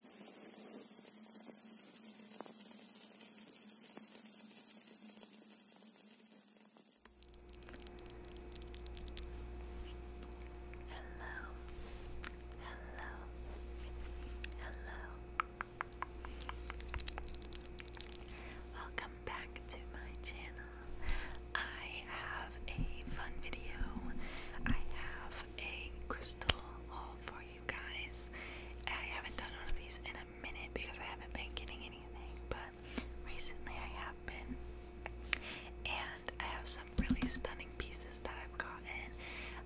Hello, hello, hello. Welcome back to my channel. I have a fun video. I have a crystal haul for you you guys. I haven't done one of these in a minute because I haven't been getting anything, but recently I have been. And I have some really stunning pieces that I've gotten.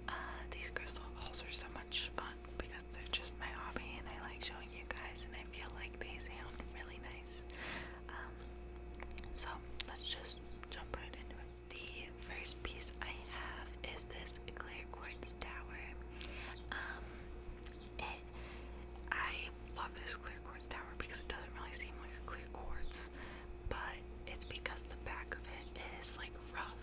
Uh, these crystal balls are so much fun because they're just my hobby and I like showing you guys, and I feel like they sound really nice. Um, so let's just jump right into it the first piece I have is this clear quartz tower. Um, I love this clear quartz tower because it doesn't really seem like a clear quartz, but it's because the back of it is like rough.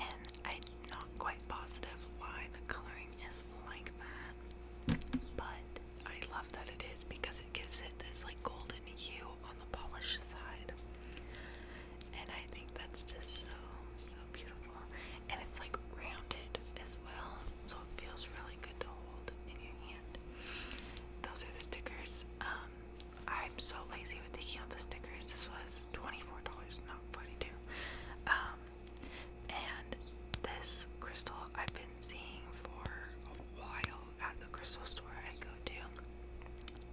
And I'm not quite positive why the coloring is like that, but I love that it is because it gives it this like golden hue on the polish side. And I think that's just so, so beautiful. And it's like rounded as well, so it feels really good to hold in your hand. Those are the stickers. Um, I'm so lazy with taking out the stickers. This was $24, not 42 Um, and this crystal I've been seeing for a while at the crystal store I go to,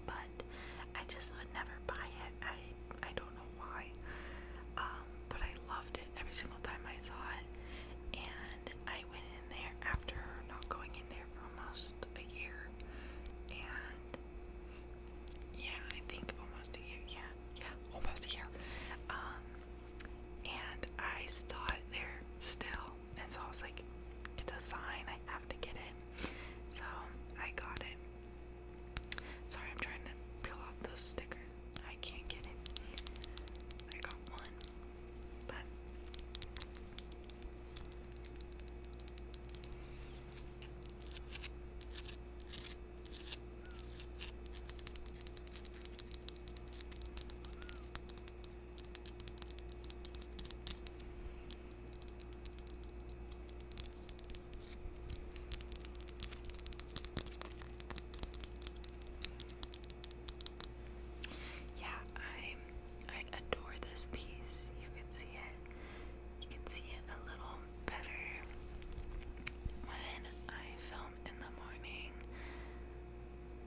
but I just would never buy it. I I don't know why, um, but I loved it every single time I saw it, and I went in there after not going in there for almost a year, and yeah, I think almost a year, yeah, yeah, almost a year, um, and I saw it there still, and so I was like, it's a sign, I have to get it. So I got it. Sorry, I'm trying to peel off those stickers. I can't get it. I got one, but. Yeah, I I adore this piece. You can see it. You can see it a little better when I film in the morning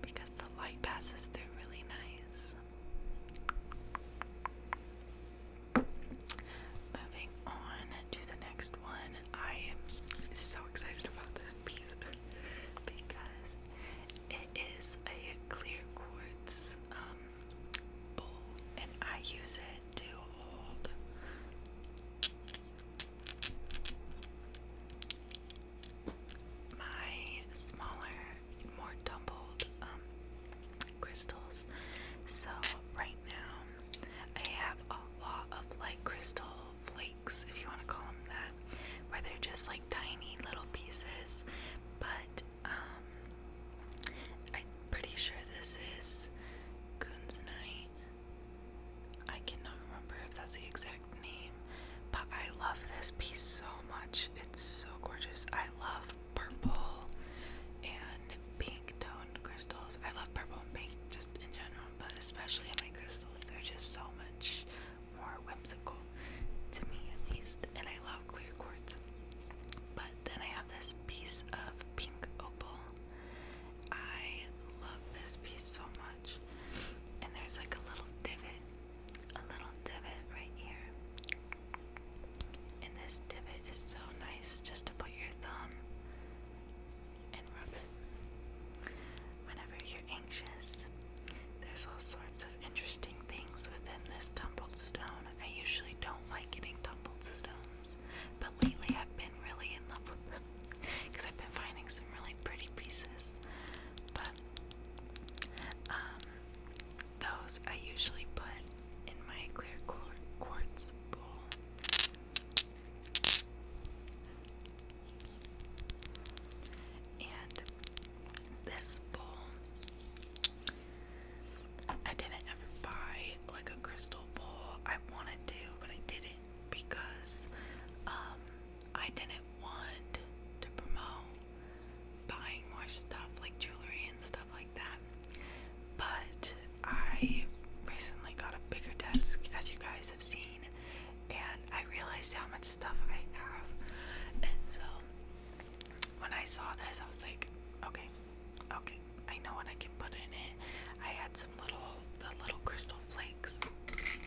because the light passes through really nice. Moving on to the next one. I am so excited about this piece because it is a clear quartz um, bowl and I use it to hold my smaller, more tumbled um, crystals. So, right now, I have a lot of light crystal flakes, if you want to call them that, where they're just like tiny little pieces. But, um, I'm pretty sure this is Kunzanite. I cannot remember if that's the exact name, but I love this piece so much. It's so gorgeous. I love purple and pink toned crystals. I love purple and pink just in general, but especially in my crystals, they're just so much more whimsical to me, at least. And I love clear quartz. But then I have this piece of pink opal. I love this piece so much and there's like a little divot, a little divot right here. And this divot is so nice just to put your thumb and rub it. Whenever you're anxious, there's all sorts of interesting things within this tumbled stone. I usually don't like getting tumbled stones, but lately I've been really in love with them because I've been finding some really pretty pieces. But um, those I usually put in my clear quartz bowl. And this bowl, I didn't ever buy like a crystal bowl. I wanted to, but I didn't because um, I didn't want to promote buying more stuff like jewelry and stuff like that. But I recently got a bigger desk, as you guys have seen, and I realized how much stuff I have. And so when I saw this, I was like, okay, okay, I know what I can put in it. I had some little the little crystal flakes,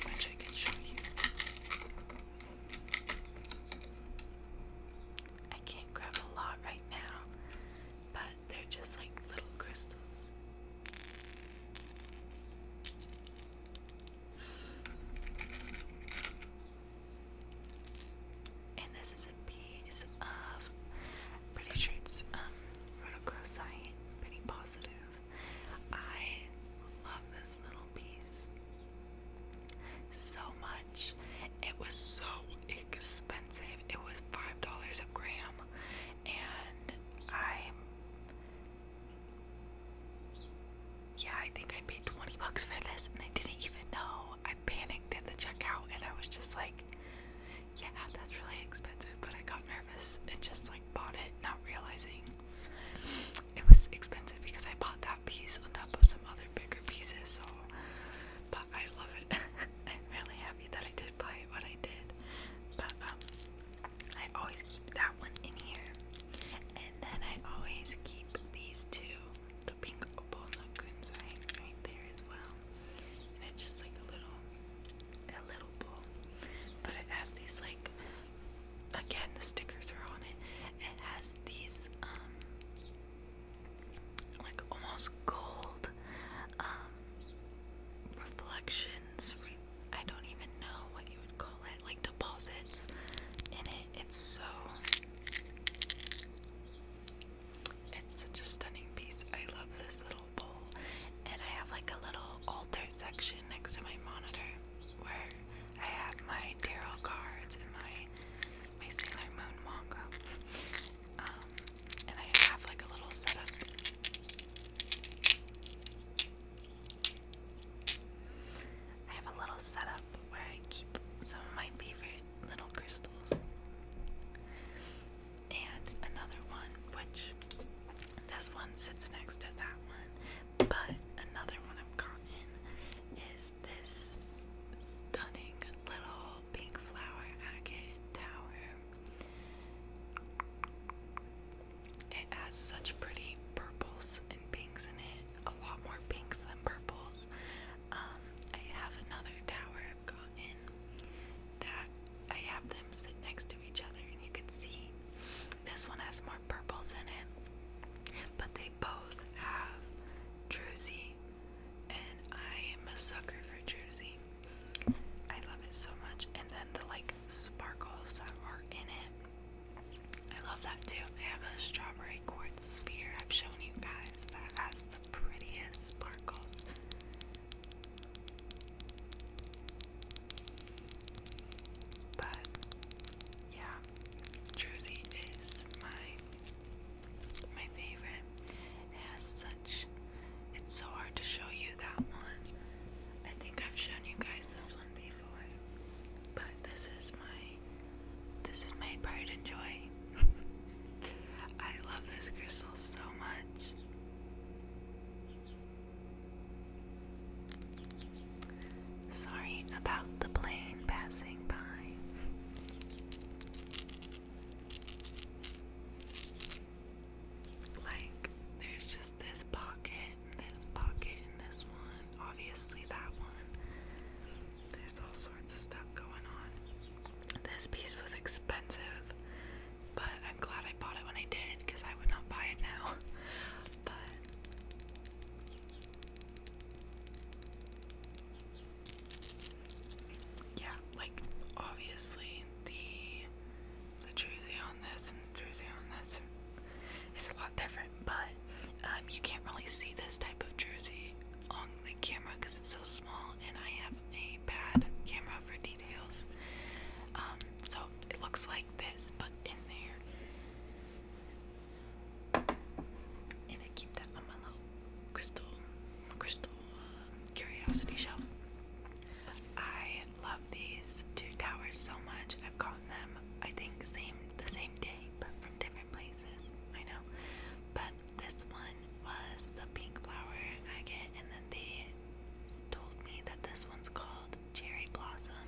which I can show you. I can't grab a lot right now, but they're just like little crystals. And this is a piece of, pretty sure it's um, rhodochrosite, pretty positive. I love this little piece so much. It was so expensive. It was $5 a gram, and i yeah, I think I paid 20 bucks for this and I didn't even know. I panicked at the checkout and I was just like, yeah, that's really expensive, but I got and just like bought it, not realizing it was expensive because I bought that piece on top of some other bigger pieces. So, but I love it. I'm really happy that I did buy it when I did. But um, I always keep that one in here, and then I always keep these two, the pink opal and green right there as well. And it's just like a little a little bowl, but it has these like again the stickers are on it. It has these um like almost gold um reflections. I don't even know what you would call it, like deposits in it. It's so it's such a stunning piece. I love this little and I have like a little altar section next to my monitor where I have my tarot cards and my my Sailor Moon manga. Um, and I have like a little setup. I have a little setup where I keep some of my favorite little crystals and another one, which this one sits next to that one, but another one I've gotten is this stunning little pink flower agate tower. It has such pretty purples and pinks in it, a lot more pinks than purples. Um, I have another tower I've gotten that I have them sit next to each other and you can see this one has more purples in it. But they both have druzy and I am a sucker for druzy. I love it so much. And then the like sparkles that are in it. I love that too. I have a strawberry quartz sphere. I've shown you guys that has the prettiest sparkles. But yeah, Druzy is my my favorite. It has such it's so hard to show you that one. I think I've shown you guys this one before. But this is my this is my pride and joy. I love this crystal so much. Sorry about the plane passing by. Like, there's just this pocket, and this pocket, and this one. Obviously, that one. There's all sorts of stuff going on. This piece was expensive but I'm glad I bought it when I did because I would not buy it now. but yeah, like obviously the the jersey on this and the jersey on this is a lot different, but um, you can't really see this type of jersey on the camera because it's so small, and I have a bad camera for um, so it looks like this, but in there. And I keep that on my little crystal, crystal uh, curiosity shelf. I love these two towers so much. I've gotten them, I think, same the same day, but from different places. I know, but this one was the pink flower I get, and they told me that this one's called Cherry Blossom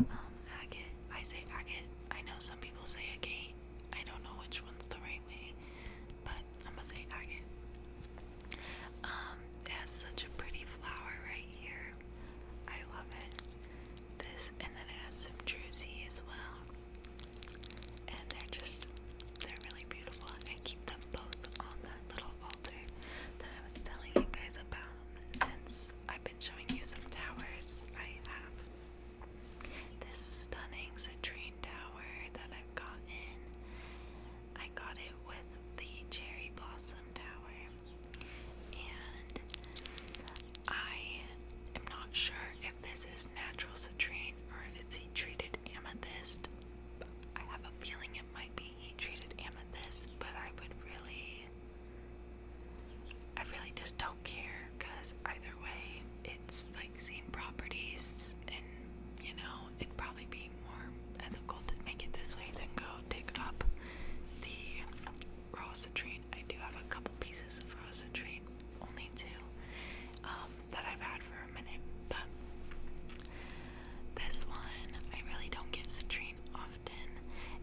um, Agate. I say agate. I know some people say agate. I don't know which one's the right way, but I'm gonna say agate. Um, it has such a pretty flower right here. I love it. This, and then it has some druzy as well. And they're just, they're really beautiful. I keep them both on little altar that I was telling you guys about since I've been showing you some towers I have. This stunning citrine tower that I've gotten. I got it with the cherry blossom tower. And I am not sure if this is natural citrine or if it's treated Amethyst. I have a feeling it might be he treated Amethyst, but I would really. I really just don't care because either way, it's like same properties, and you know, it'd probably be more ethical to make it this way than go dig up the rosatrine. I do have a couple pieces of rosatrine, only two, um, that I've had for a minute, but this one I really don't get citrine often,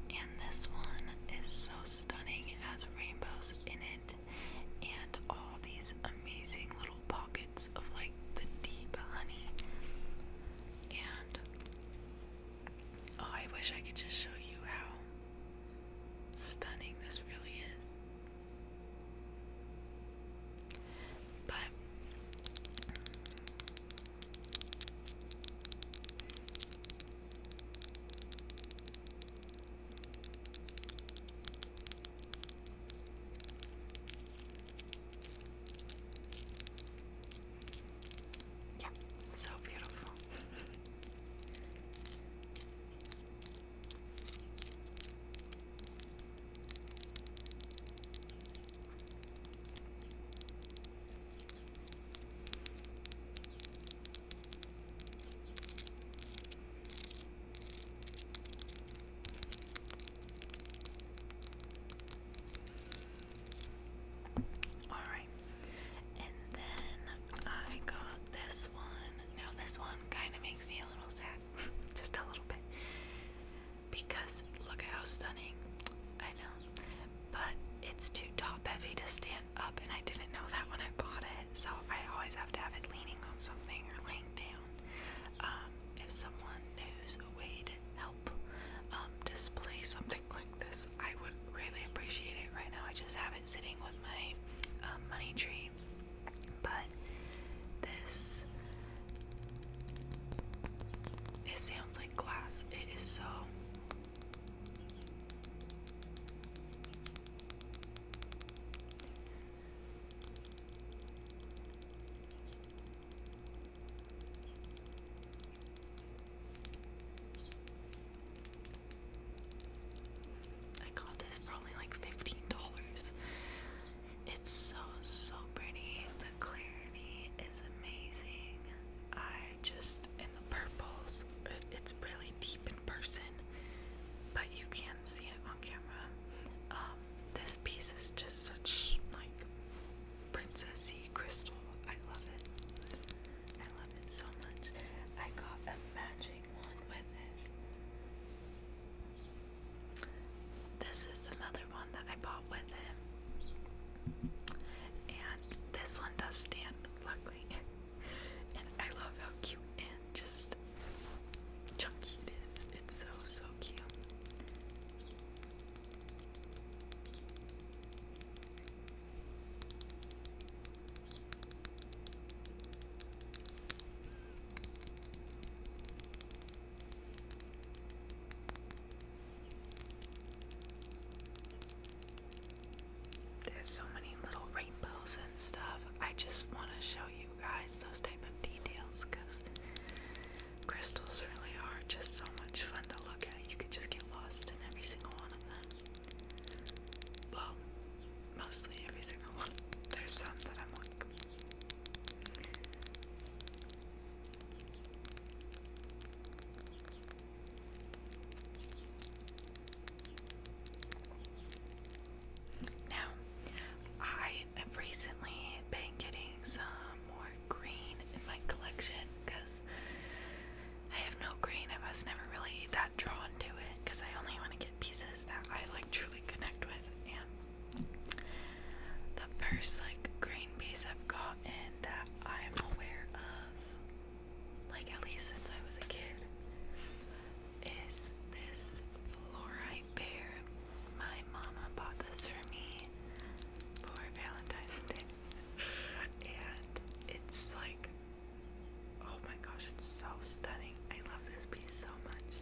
and this one is so stunning. It has rainbows in it, and all these amazing little pockets of like the deep honey. And oh, I wish I could just show you how stunning this really is. But yeah, so beautiful. All right, and then I got this one. Now, this one kind of makes me a little sad, just a little bit because look how stunning. I know, but it's too top heavy to stand up, and I didn't know that when I bought it, so I always have to have it leaning on something or laying down. Um, if someone knows a way to help um, display something like this, I would really appreciate it. Right now, I just have it sitting with my um, money tree but this it sounds like glass. It is so I got this for like $15. It's so, so pretty. The clarity is amazing. I just, in the purples, it's really deep in person, but you can see it on camera. Um, this piece is just such, like, princessy crystal. I love it. I love it so much. I got a matching one with it. This is another one that I bought with him. And this one does stand, luckily. and I love how cute and just chunky it is. It's so, so cute. There's so many little rainbows and stuff. I just want to show you guys those type of details because crystals really are just so much fun to look at. You could just get lost in every single one of them. Well, mostly every single one. There's some that I'm like, now, I have recently been getting some more green in my collection because I have no green. I was never really that drawn to it because I only want to get pieces that I like truly connect with and the first like green piece I've gotten that I'm aware of, like at least since I was a kid, is this fluorite bear. My mama bought this for me for Valentine's Day. And it's like oh my gosh, it's so stunning. I love this piece so much.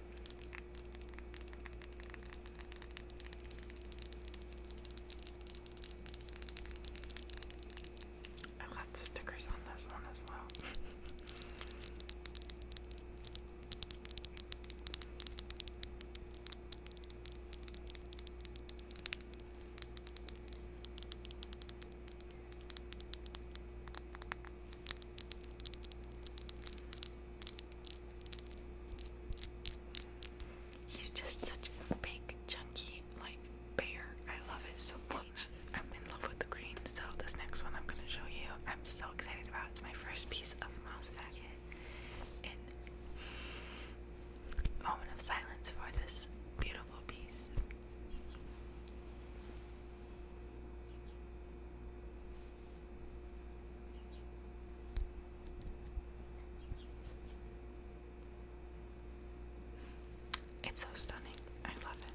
I left stickers on this one as well. He's just such a big, chunky, like bear. I love it so much. I'm in love with the green, so this next one I'm gonna show you. I'm so excited about. It's my first piece of mouse packet. And moment of silence for this beautiful piece. It's so stunning. I love it.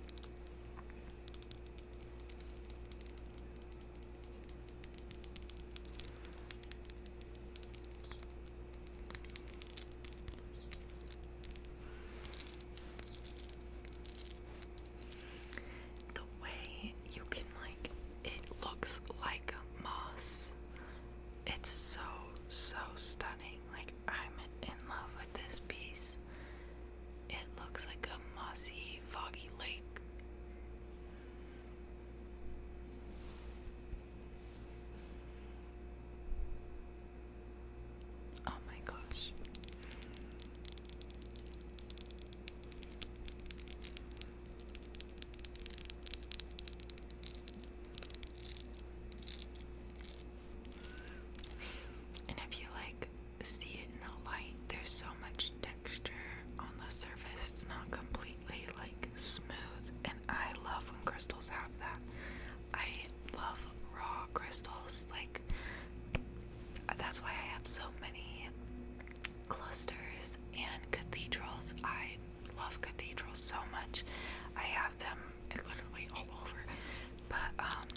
The way you can like it looks like moss. It's so so stunning. Like I'm in love with this piece. It looks like a mossy, foggy lake. Oh my gosh. And if you like see it in the light, there's so much texture on the surface. It's not completely like smooth. And I love when crystals have that. I love raw crystals, like that's why I have so many clusters and cathedrals. I love cathedrals so much. I have them literally all over. But um,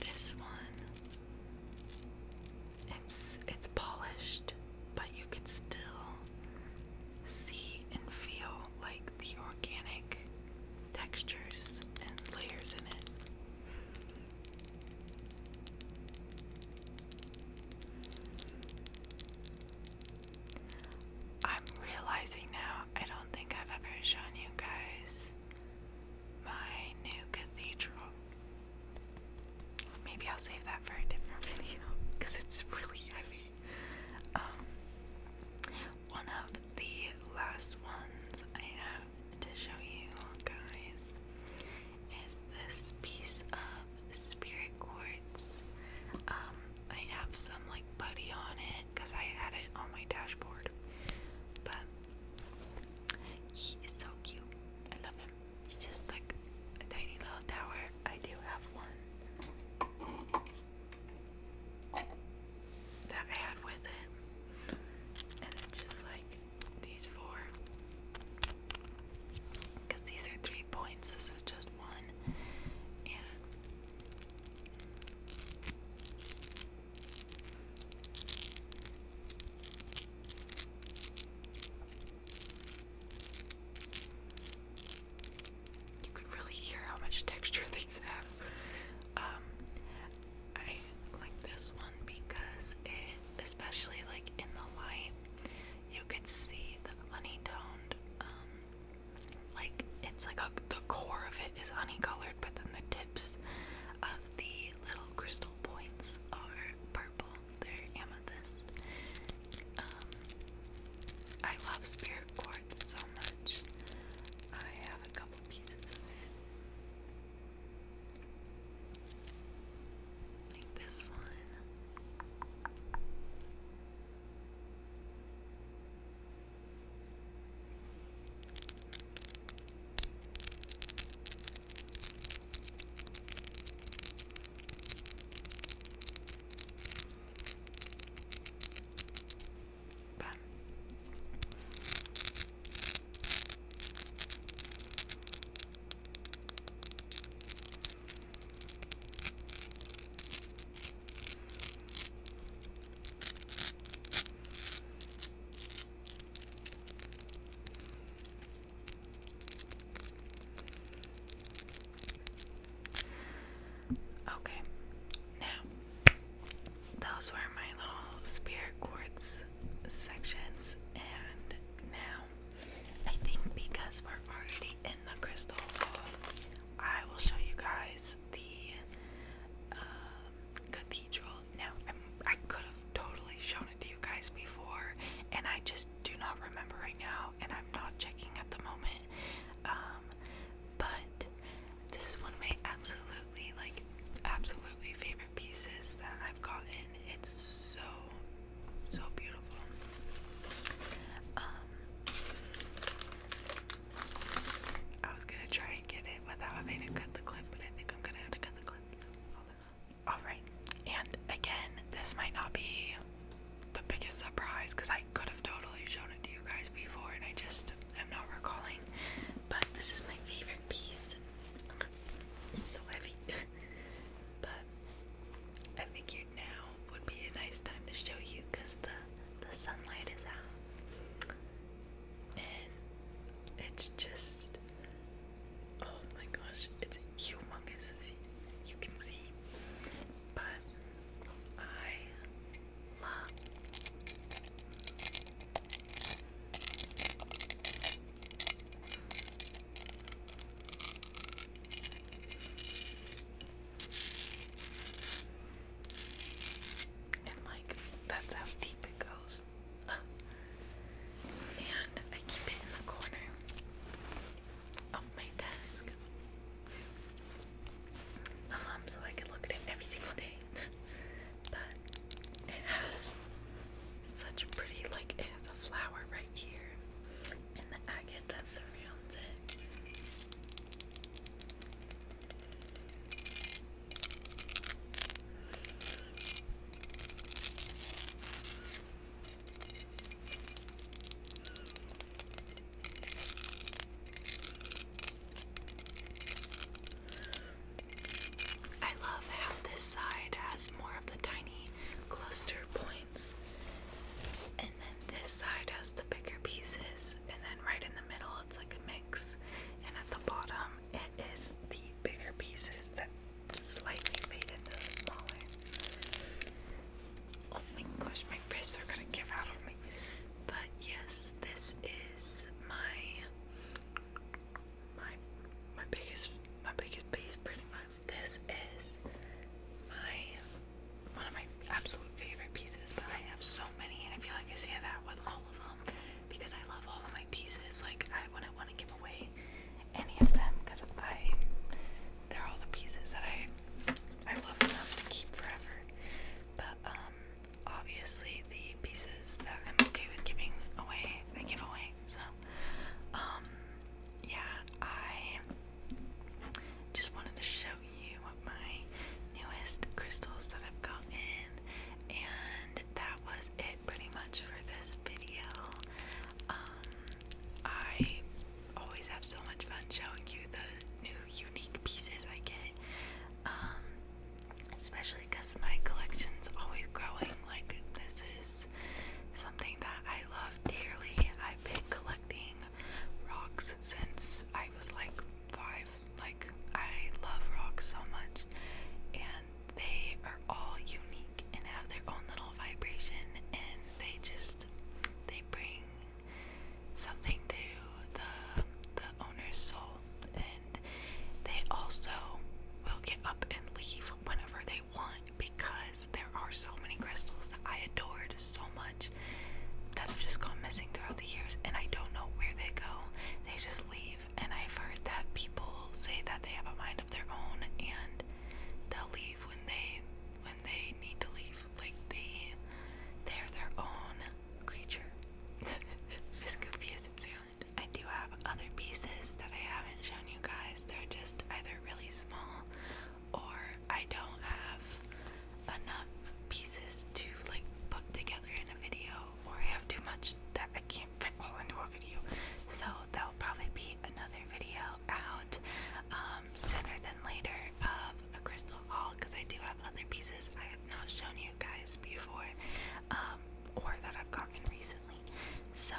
this one it's it's polished, but you can still see and feel like the organic textures and layers in it. I'm realizing now I don't think I've ever shown you guys my new cathedral. Maybe I'll save that for a different video because it's really heavy. Um, one of the last ones I have have to show you guys is this piece of spirit quartz. Um, I have some like putty on it because I had it on my dashboard. But he is so cute. I love him. He's just like a tiny little tower. I do have one that I had with it. And it's just like these four. Because these are three points, this is just one. And you could really hear how much texture these have. Um, I like this one because it, especially like in the light, you could see the honey-toned, um, like it's like a, the core of it is honey-colored, but then the tips of the little crystal points are purple. They're amethyst. Um, I love spirit quartz so much. I have a couple pieces of it. Like this one. But Okay, now those were my little spirit quartz sections, and now I think because we're already in the crystal hall, I will show you guys the um, cathedral. Now, i could have totally shown it to you guys before, and I just do not remember right now, and I'm not checking at the moment. Um, but this is one of my absolutely, like, absolutely favorite pieces that I've gotten. It's so, so beautiful. Um, I was gonna try and get it without having to cut the clip, but I think I'm gonna have to cut the clip. Alright, and again, this might not be the biggest surprise because I could have totally shown it to you guys before, and I just I'm not recalling, but this is my favorite piece. It's so heavy, but I figured now would be a nice time to show you because the the sunlight is out, and it's just oh my gosh, it's humongous as you can see. But I and like that's how deep it goes. and I keep it in the corner of my desk. Um, so I could look at it every single day. but it has such pretty, like, it has a flower right here, and the agate that surrounds it. I love how this side has more of the tiny cluster points, and then this side has the bigger pieces, and then right in the middle it's like a mix, and at the bottom it is the bigger pieces that slightly fade into the smaller. Oh my gosh, my fists are gonna give out on but yes, this is my my my biggest my biggest piece pretty much. This is my one of my absolute favorite pieces, but I have so many and I feel like I say that with all of them because I love all of my pieces. Like I wouldn't want to give away any of them because I they're all the pieces that I I love enough to keep forever. But um obviously the pieces that I'm okay with giving away, I give away. So, um, yeah, I just wanted to show you my newest crystals that I've gotten, and that was it pretty much for this video. Um, I always have so much fun showing you the new unique pieces I get. Um, especially because my collection's always growing. Like, this is something that I love dearly. I've been collecting rocks since I was like five. Like, I love rocks so much, and they are all unique and have their own little vibration, and they just they bring something to the the owner's soul, and they also will get up and leave whenever they want because there are so many crystals that I adored so much that have just gone missing throughout the years, and I don't know where they go. They just leave, and I've heard that people say that they have a mind of their own and they'll leave when they when they need to leave. Like they they're their own creature. as goofy I do have other pieces that I haven't shown you guys. They're just either really small or I don't have enough pieces to like put together in a video or I have too much that I can't fit all into a video. So that'll probably be another video out um, sooner than later of a crystal haul because I do have other pieces I have not shown you guys before, um, or that I've gotten recently. So,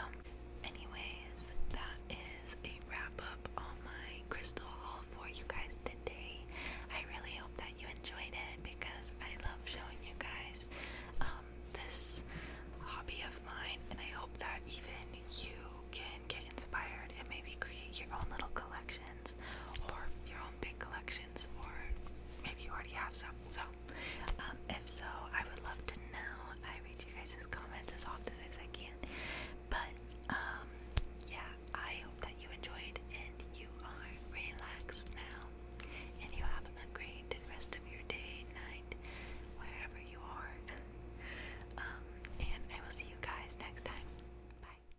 anyways, that is a wrap up on my crystal haul for you guys today. I really hope that you enjoyed it because I love showing you guys um, this hobby of mine, and I hope that even you can get inspired and maybe create your own little collection collections or your own big collections, or maybe you already have some. So, um, if so, I would love to know. I read you guys' comments as often as I can. But, um, yeah, I hope that you enjoyed and you are relaxed now. And you have a great rest of your day, night, wherever you are. um, and I will see you guys next time. Bye.